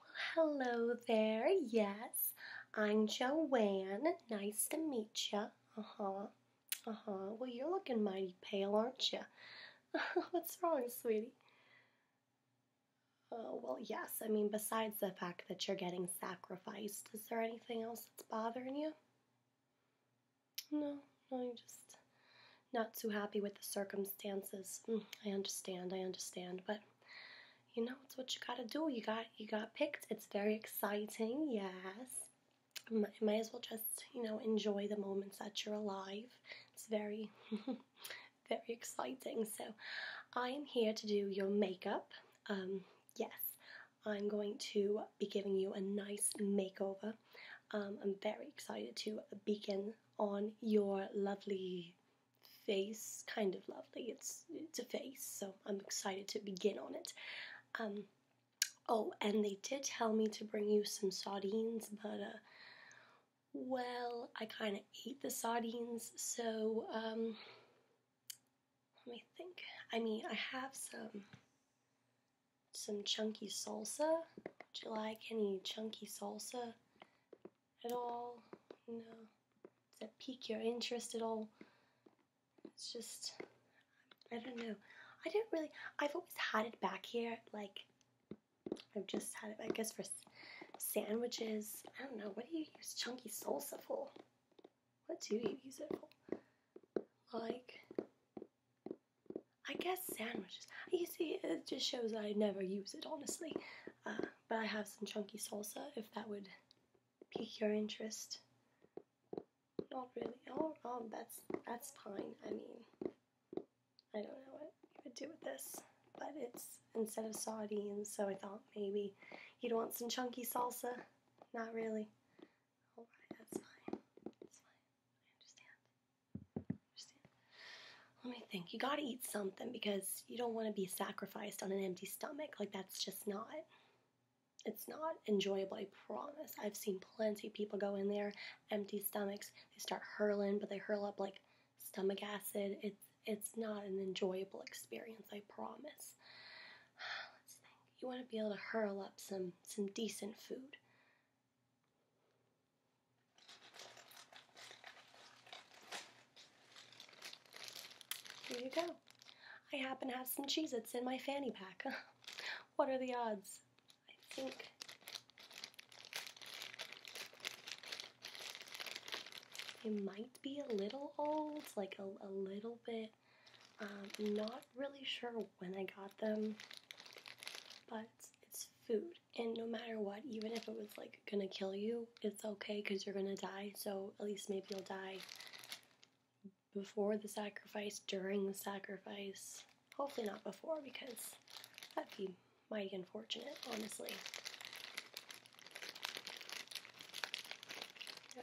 Well, hello there. Yes, I'm Joanne. Nice to meet you. Uh huh. Uh huh. Well, you're looking mighty pale, aren't you? What's wrong, sweetie? Oh, well, yes. I mean, besides the fact that you're getting sacrificed, is there anything else that's bothering you? No, no, you just not too happy with the circumstances. Mm, I understand, I understand, but you know it's what you gotta do. You got you got picked. It's very exciting, yes. Might, might as well just you know enjoy the moments that you're alive. It's very, very exciting. So, I am here to do your makeup. Um, yes, I'm going to be giving you a nice makeover. Um, I'm very excited to begin on your lovely face, kind of lovely. It's it's a face, so I'm excited to begin on it. Um, oh, and they did tell me to bring you some sardines, but uh, well, I kind of ate the sardines, so um, let me think. I mean, I have some some chunky salsa. Would you like any chunky salsa? at all? No. Does that pique your interest at all? It's just, I don't know. I don't really, I've always had it back here. Like, I've just had it, I guess, for sandwiches. I don't know. What do you use chunky salsa for? What do you use it for? Like, I guess sandwiches you see, it just shows I never use it, honestly. Uh, but I have some chunky salsa, if that would pique your interest. Not really. Oh, oh that's, that's fine. I mean, I don't know what you would do with this. But it's instead of sardines, so I thought maybe you'd want some chunky salsa. Not really. Alright, that's fine. That's fine. I understand. Let me think. You gotta eat something because you don't want to be sacrificed on an empty stomach. Like that's just not. It's not enjoyable, I promise. I've seen plenty people go in there, empty stomachs, they start hurling, but they hurl up like stomach acid. It's it's not an enjoyable experience, I promise. You want to be able to hurl up some some decent food. Here you go. I happen to have some cheese that's in my fanny pack. what are the odds? I think. They might be a little old, like a, a little bit. Um, not really sure when I got them, but it's food and no matter what, even if it was like gonna kill you, it's okay because you're gonna die, so at least maybe you'll die before the sacrifice, during the sacrifice. Hopefully, not before because that'd be mighty unfortunate, honestly.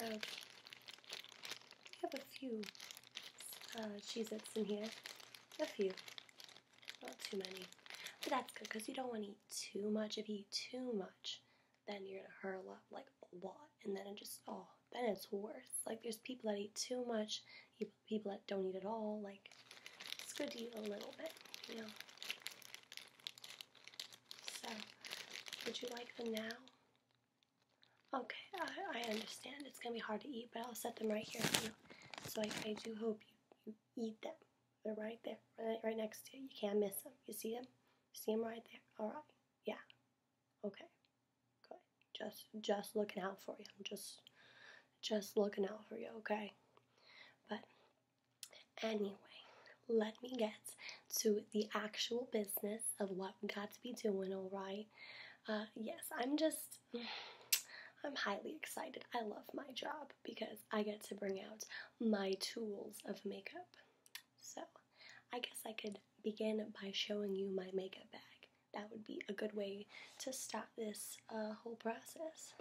Uh, we have a few uh, Cheez in here. A few. Not too many. But that's good because you don't want to eat too much. If you eat too much, then you're gonna hurl up like a lot, and then it just oh, then it's worse. Like there's people that eat too much, people that don't eat at all. Like it's good to eat a little bit, you know. So, would you like them now? Okay, I, understand. It's gonna be hard to eat, but I'll set them right here for you. So I, I do hope you, you eat them. They're right there, right, right next to you. You can't miss them. You see them? see them right there. All right. Yeah. Okay. Good. Just, just looking out for you. I'm just, just looking out for you. Okay. But anyway, let me get to the actual business of what we got to be doing. All right. Uh, yes, I'm just. I'm highly excited. I love my job because I get to bring out my tools of makeup. So I guess I could begin by showing you my makeup bag. That would be a good way to start this uh, whole process.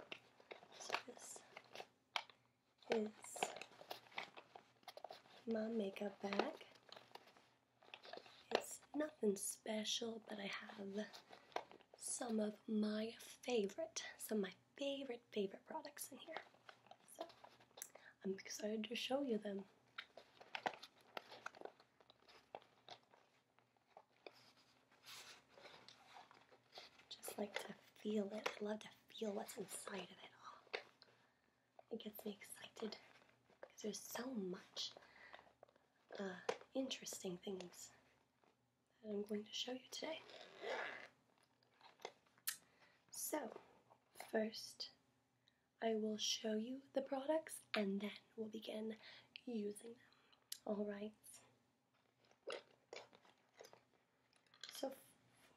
this is my makeup bag. It's nothing special, but I have some of my favorite, some of my favorite, favorite products in here. So I'm excited to show you them. Just like to feel it. I love to feel what's inside of it all. It gets me excited because there's so much uh, interesting things that I'm going to show you today. So, first, I will show you the products and then we'll begin using them. Alright. So,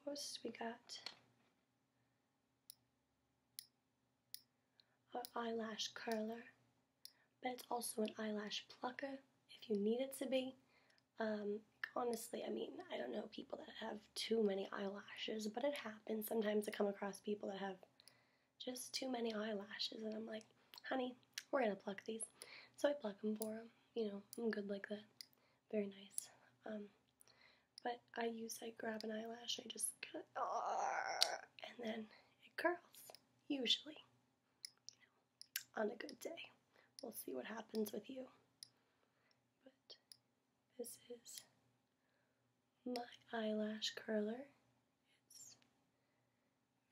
first, we got our eyelash curler, but it's also an eyelash plucker if you need it to be. Um, honestly, I mean, I don't know people that have too many eyelashes, but it happens. Sometimes I come across people that have just too many eyelashes, and I'm like, honey, we're gonna pluck these. So I pluck them for them. You know, I'm good like that. Very nice. Um, but I use, I grab an eyelash, I just cut, and then it curls, usually on a good day. We'll see what happens with you. But this is my eyelash curler. It's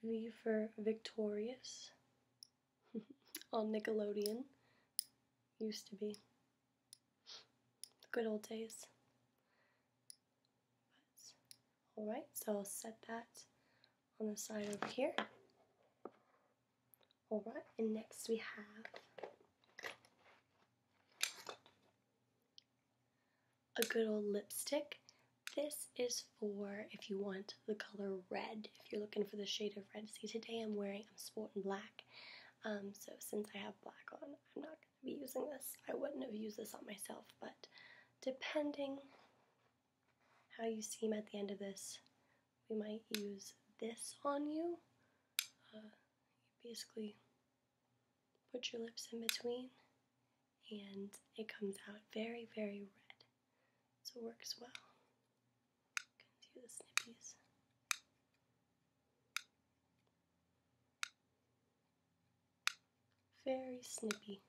V for Victorious on Nickelodeon. Used to be. The good old days. Alright, so I'll set that on the side over here. Alright, and next we have a good old lipstick. This is for if you want the color red, if you're looking for the shade of red. See, today I'm wearing, I'm sporting black. Um, so since I have black on, I'm not going to be using this. I wouldn't have used this on myself, but depending how you seem at the end of this. We might use this on you. Uh, basically put your lips in between and it comes out very, very red. So it works well. see the snippies. Very snippy.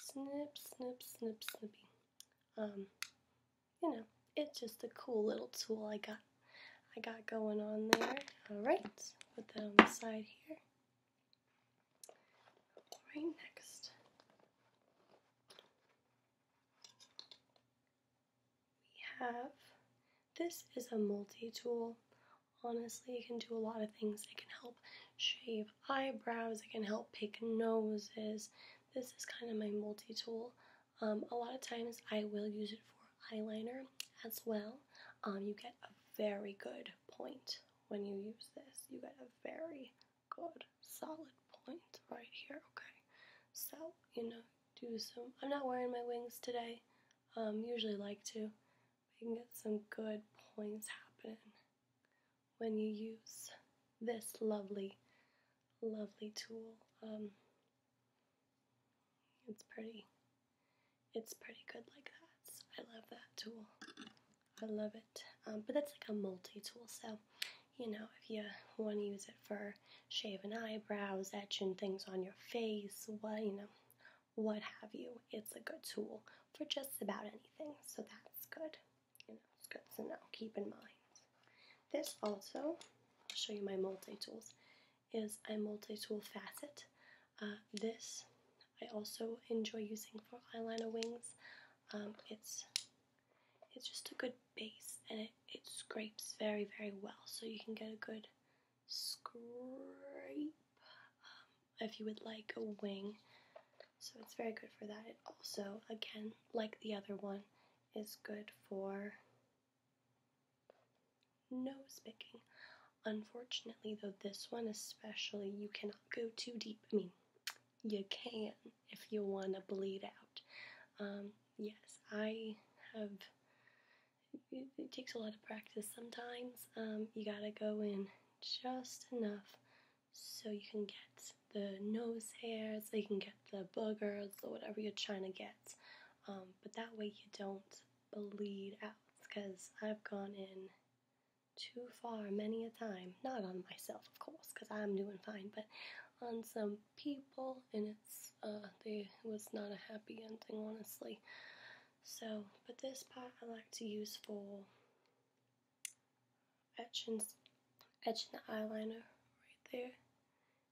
Snip, snip, snip, snippy. Um, you know, it's just a cool little tool I got. I got going on there. All right, put that on the side here. All right next, we have. This is a multi-tool. Honestly, it can do a lot of things. It can help shave eyebrows, I can help pick noses. This is kind of my multi-tool. Um, a lot of times I will use it for eyeliner as well. Um, you get a very good point when you use this. You get a very good solid point right here, okay? So, you know, do some, I'm not wearing my wings today. Um, usually like to. But you can get some good points happening when you use this lovely, lovely tool. Um, it's pretty. It's pretty good like that. I love that tool. I love it. Um, but that's like a multi-tool, so you know, if you want to use it for shaving eyebrows, etching things on your face, what you know, what have you, it's a good tool for just about anything. So that's good you know, it's good to know, keep in mind. This also, I'll show you my multi-tools, is a multi-tool facet. Uh, this I also enjoy using for eyeliner wings. Um, it's it's just a good base and it, it scrapes very very well so you can get a good scrape um, if you would like a wing so it's very good for that. It also, again, like the other one, is good for nose picking. Unfortunately, though, this one especially, you cannot go too deep. I mean, you can if you want to bleed out. Um, yes, I have. It, takes a lot of practice sometimes. Um, you gotta go in just enough so you can get the nose hairs, so you can get the boogers, or whatever you're trying to get. Um, but that way you don't bleed out. Because I've gone in too far many a time. Not on myself, of course, because I'm doing fine, but on some people, and it's uh, it was not a happy ending, honestly. So, but this part I like to use for etching, etching the eyeliner right there.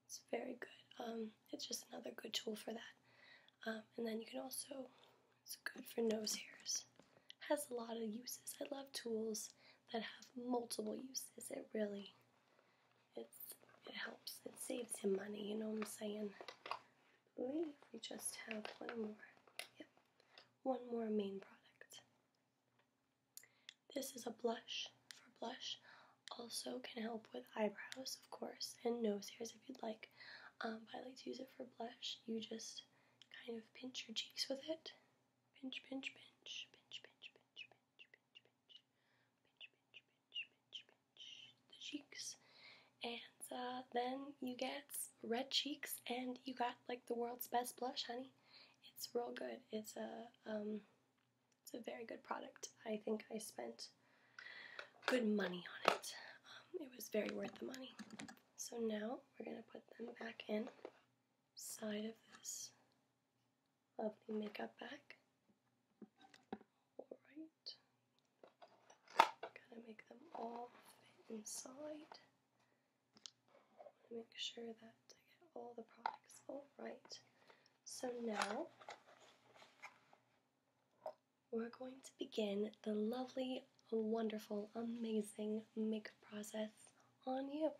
It's very good. Um, it's just another good tool for that. Um, and then you can also, it's good for nose hairs. Has a lot of uses. I love tools that have multiple uses. It really, it's, it helps. It saves you money, you know what I'm saying? we just have one more. Yep, one more main product. This is a blush for blush. Also can help with eyebrows, of course, and nose hairs if you'd like. Um, but let's use it for blush. You just kind of pinch your cheeks with it. Pinch, pinch, pinch, pinch, pinch, pinch, pinch, pinch, pinch, pinch, pinch, pinch, pinch, pinch the cheeks. And uh, then you get red cheeks, and you got like the world's best blush, honey. It's real good. It's a um, it's a very good product. I think I spent good money on it. Um, it was very worth the money. So now we're gonna put them back in side of this lovely makeup bag. Alright. Gotta make them all fit inside make sure that I get all the products all right. So now we're going to begin the lovely, wonderful, amazing makeup process on you.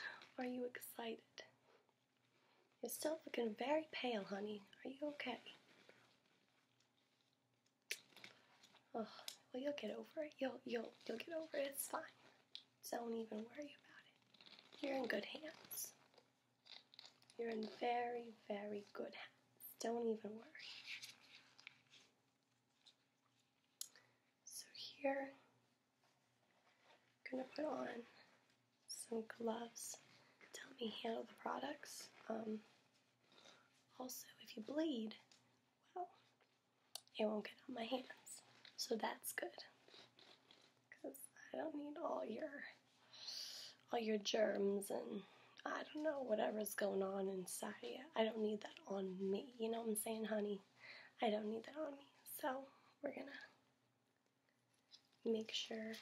Are you excited? You're still looking very pale, honey. Are you okay? Oh, well, you'll get over it. You'll you'll you'll get over it. It's fine. Don't even worry about it. You're in good hands. You're in very, very good hands. Don't even worry. So here, I'm gonna put on some gloves to help me handle the products. Um, also, if you bleed, well, it won't get on my hands. So that's good. Because I don't need all your all your germs and I don't know whatever's going on inside of you. I don't need that on me. You know what I'm saying, honey? I don't need that on me. So we're gonna make sure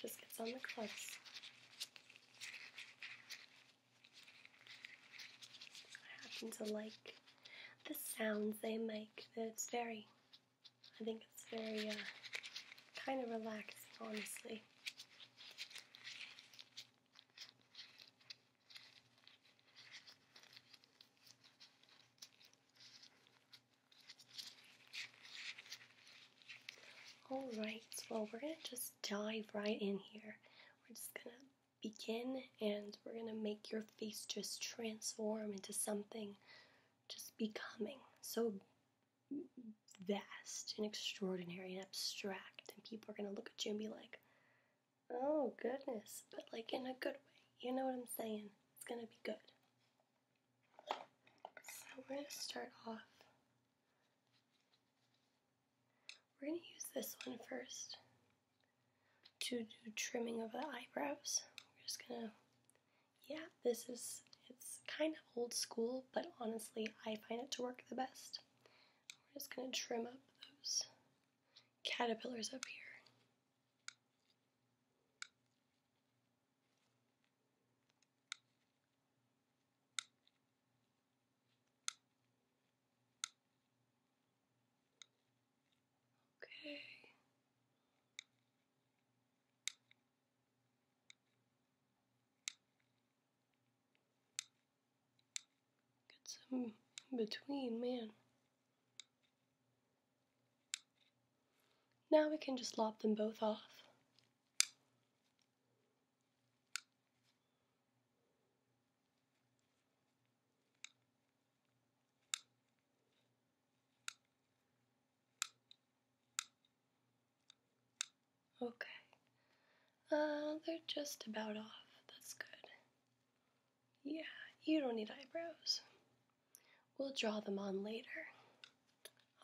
just gets on the gloves. I happen to like the sounds they make. It's very, I think it's very uh, kind of relaxed, honestly. Alright, well, we're going to just dive right in here. We're just going to begin and we're going to make your face just transform into something just becoming so vast and extraordinary and abstract and people are going to look at you and be like oh goodness but like in a good way you know what i'm saying it's going to be good so we're going to start off we're going to use this one first to do trimming of the eyebrows. We're just gonna, yeah, this is, it's kind of old school, but honestly, I find it to work the best. We're just gonna trim up those caterpillars up here. Okay. Get some between, man. Now we can just lop them both off. Okay. Uh, they're just about off. That's good. Yeah, you don't need eyebrows. We'll draw them on later.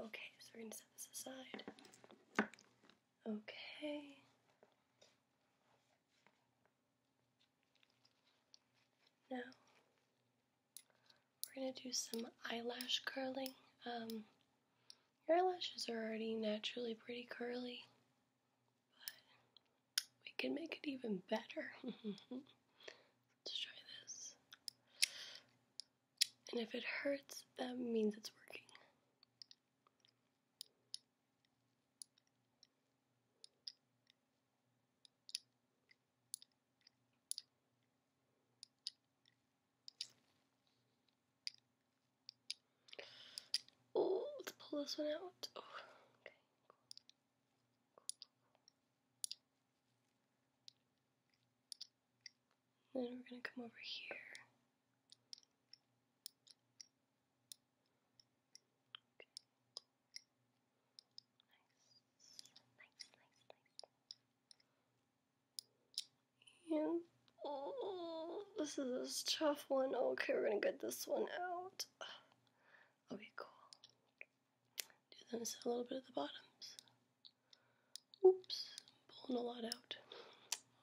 Okay, so we're going to set this aside. Okay. Now we're going to do some eyelash curling. Um, your lashes are already naturally pretty curly, but we can make it even better. Let's try this. And if it hurts, that means it's working. Oh, let's pull this one out. okay, Then we're gonna come over here. And, this is a tough one. Okay, we're gonna get this one out. Okay, cool. Do this a little bit at the bottoms. Oops, pulling a lot out.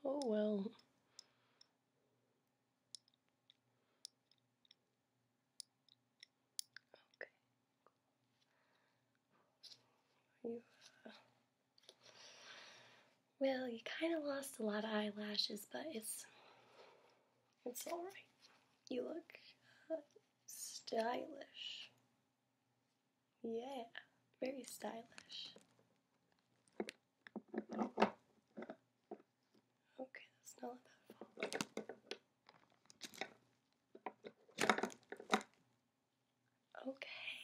Oh well. Okay, You, well, you kind of lost a lot of eyelashes, but it's it's all right. You look uh, stylish. Yeah, very stylish. Okay, that's not that fault. Okay,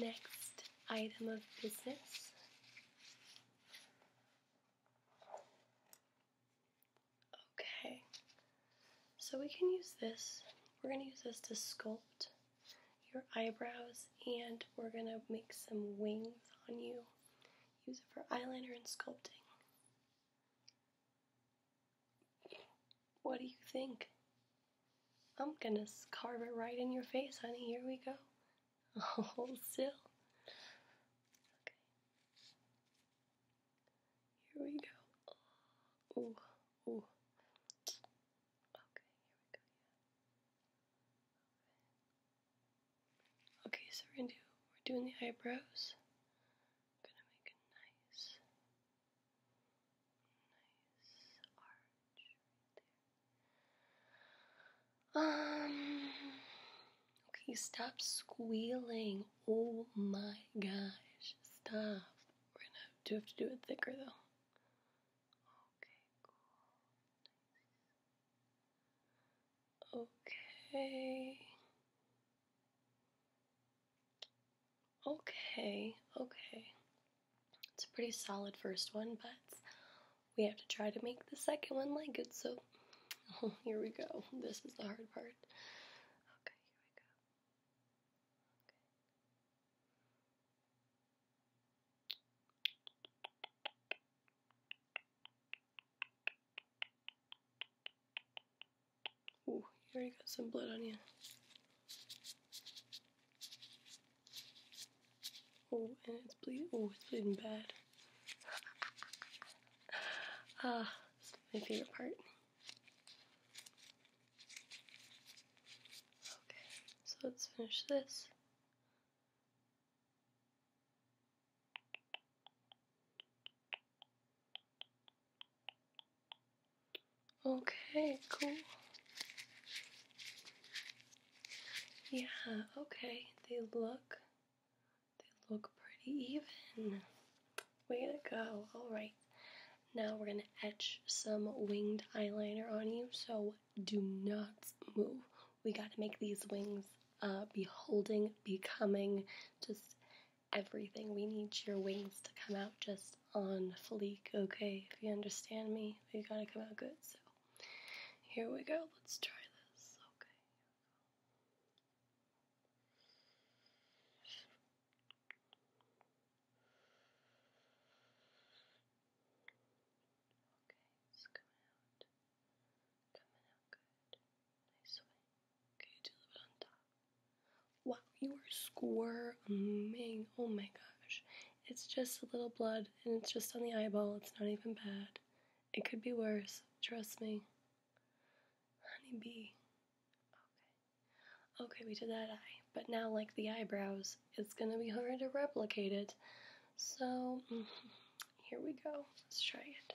next item of business. Okay, so we can use this. We're going to use this to sculpt your eyebrows and we're going to make some wings on you Use it for eyeliner and sculpting. What do you think? I'm gonna carve it right in your face, honey. Here we go. Hold still. Okay. Here we go. Ooh, Okay, here we go. Yeah. Okay, so we're gonna do we're doing the eyebrows. gonna make a nice nice arch right there. Um okay, stop squealing. Oh my gosh. Stop. We're gonna have to have to do it thicker though. Okay, Okay. Okay, okay. It's a pretty solid first one, but we have to try to make the second one like it, so oh, here we go. This is the hard part. Okay, here we go. Ooh, you already got some blood on you. Oh, and it's bleeding. Oh, it's bleeding bad. ah, my favorite part. Okay, so let's finish this. Okay, cool. Yeah, okay. They look they look pretty even. Way to go. Alright. Now we're gonna etch some winged eyeliner on you, so do not move we got to make these wings uh, beholding, becoming, just everything. We need your wings to come out just on fleek, okay? If you understand me, they got to come out good. So here we go. Let's try this, okay? Coming out good. Nice swing. Okay, deliver on top. Wow, you are squirming. Oh my gosh. It's just a little blood and it's just on the eyeball. It's not even bad. It could be worse. Trust me. Honeybee. Okay. Okay, we did that eye. But now, like the eyebrows, it's gonna be hard to replicate it. So, here we go. Let's try it.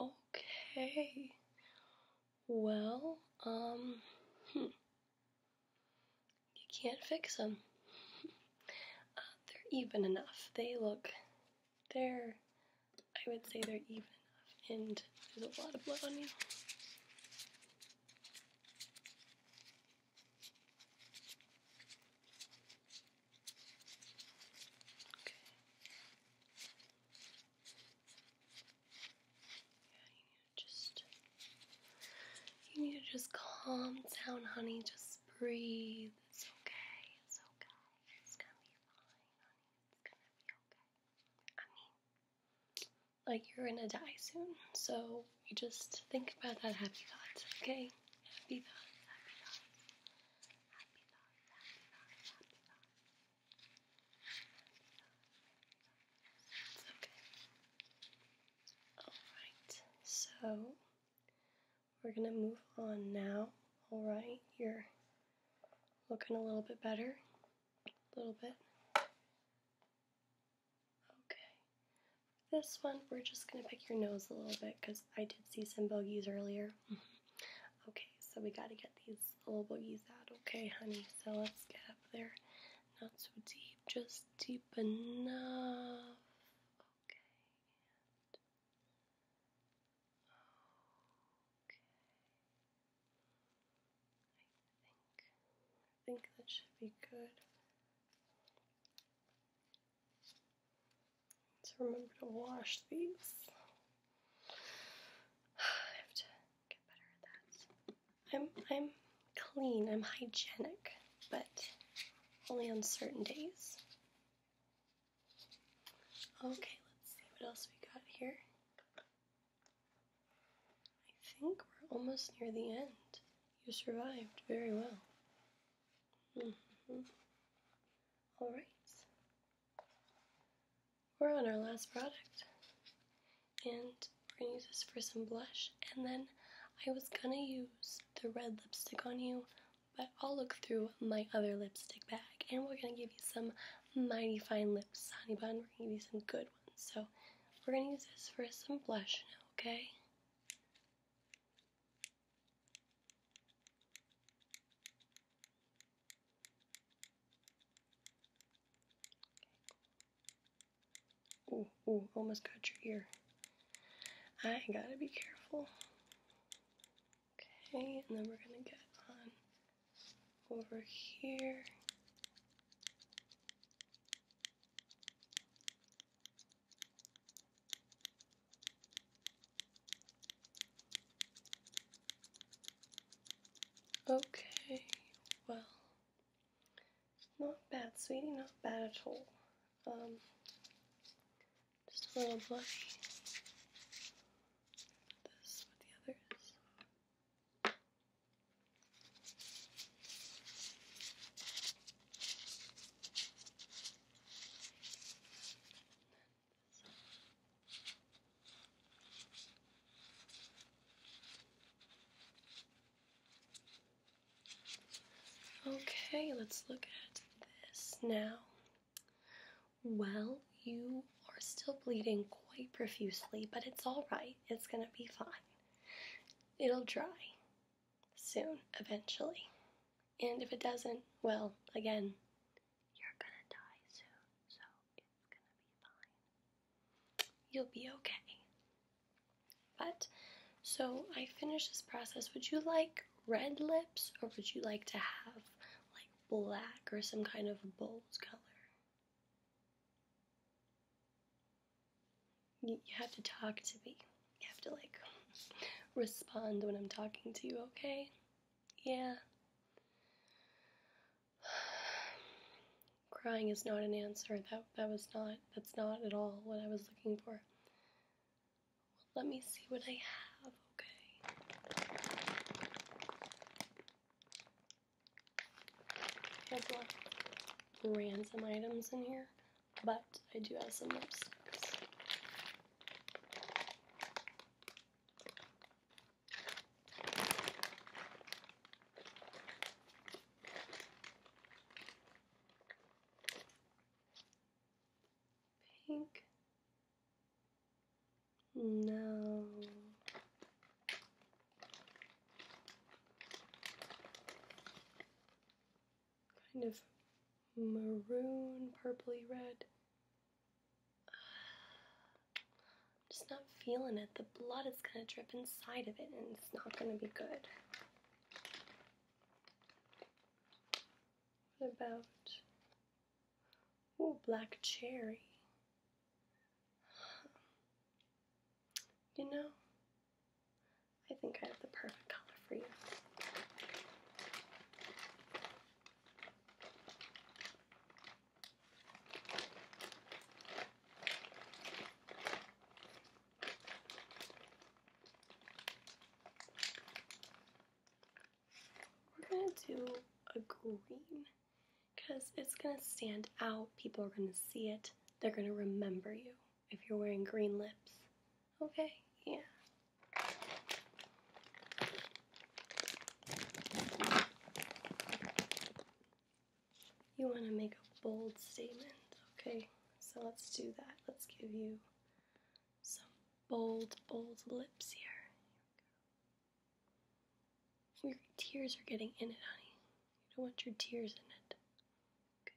Okay. Well, um, hmm. you can't fix them. Uh, they're even enough. They look, they're, I would say they're even enough, and there's a lot of blood on you you need to just you need to just calm down, honey. Just breathe. It's okay. It's okay. It's gonna be fine, honey. It's gonna be okay. I mean, like you're gonna die soon, so you just think about that happy thought, okay? happy thoughts, happy thoughts. It's okay. Alright, so we're gonna move on now. Alright, you're looking a little bit better. A little bit. Okay. This one, we're just gonna pick your nose a little bit because I did see some bogeys earlier. okay, so we gotta get these little boogies out, okay, honey? So let's get up there. Not so deep, just deep enough. Okay. okay. I think I think that should be good. So remember to wash these. I have to get better at that. I'm I'm clean, I'm hygienic, but only on certain days. Okay, let's see what else we got here. I think we're almost near the end. You survived very well. -hmm. All right we're on our last product. And we're gonna use this for some blush. And then I was gonna use the red lipstick on you, but I'll look through my other lipstick bag and we're gonna give you some mighty fine lips, honey bun. We're gonna give you some good ones. So we're gonna use this for some blush okay? Ooh, ooh, almost got your ear. I gotta be careful. Okay, and then we're gonna get on over here. Okay, well, not bad, sweetie, not bad at all. Um, just a little blush. This with the others. Okay, let's look at this now. Well, you are still bleeding quite profusely, but it's alright. It's gonna be fine. It'll dry soon, eventually. And if it doesn't, well, again, you're gonna die soon, so it's gonna be fine. You'll be okay. But, so I finished this process. Would you like red lips or would you like to have like black or some kind of bold color? You have to talk to me. You have to like respond when I'm talking to you, okay? Yeah. Crying is not an answer. That that was not that's not at all what I was looking for. let me see what I have, okay? I have a lot random items in here, but I do have some lipsticks. Pink. No. Kind of maroon, purply red. I'm just not feeling it. The blood is going to drip inside of it and it's not going to be good. What about oh, black cherry? You know, I think I have the perfect color for you. We're gonna do a green because it's gonna stand out. People are gonna see it. They're gonna remember you if you're wearing green lips. Okay, yeah. You want to make a bold statement, okay? So let's do that. Let's give you some bold, bold lips here. your tears are getting in it, honey. You don't want your tears in it. Okay.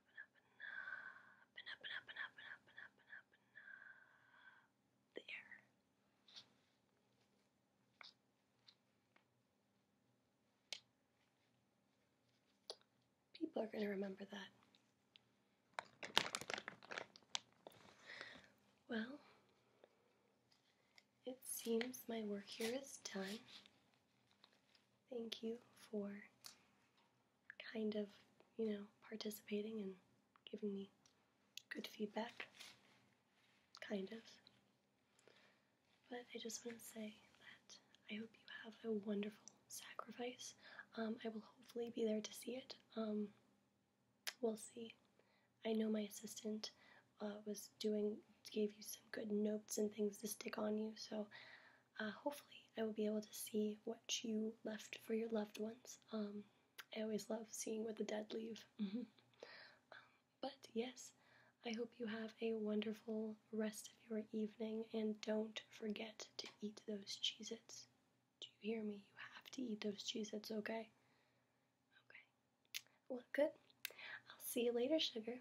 there. People are going to remember that. Well, it seems my work here is done. Thank you for kind of, you know, participating and giving me good feedback. Kind of. But I just want to say that I hope you have a wonderful sacrifice. Um, I will hopefully be there to see it. Um, we'll see. I know my assistant uh, was doing, gave you some good notes and things to stick on you, so uh, hopefully I will be able to see what you left for your loved ones. Um, I always love seeing what the dead leave. Um, but yes, I hope you have a wonderful rest of your evening and don't forget to eat those Cheez Do you hear me? You have to eat those Cheez okay? Okay. Well, good. I'll see you later, sugar.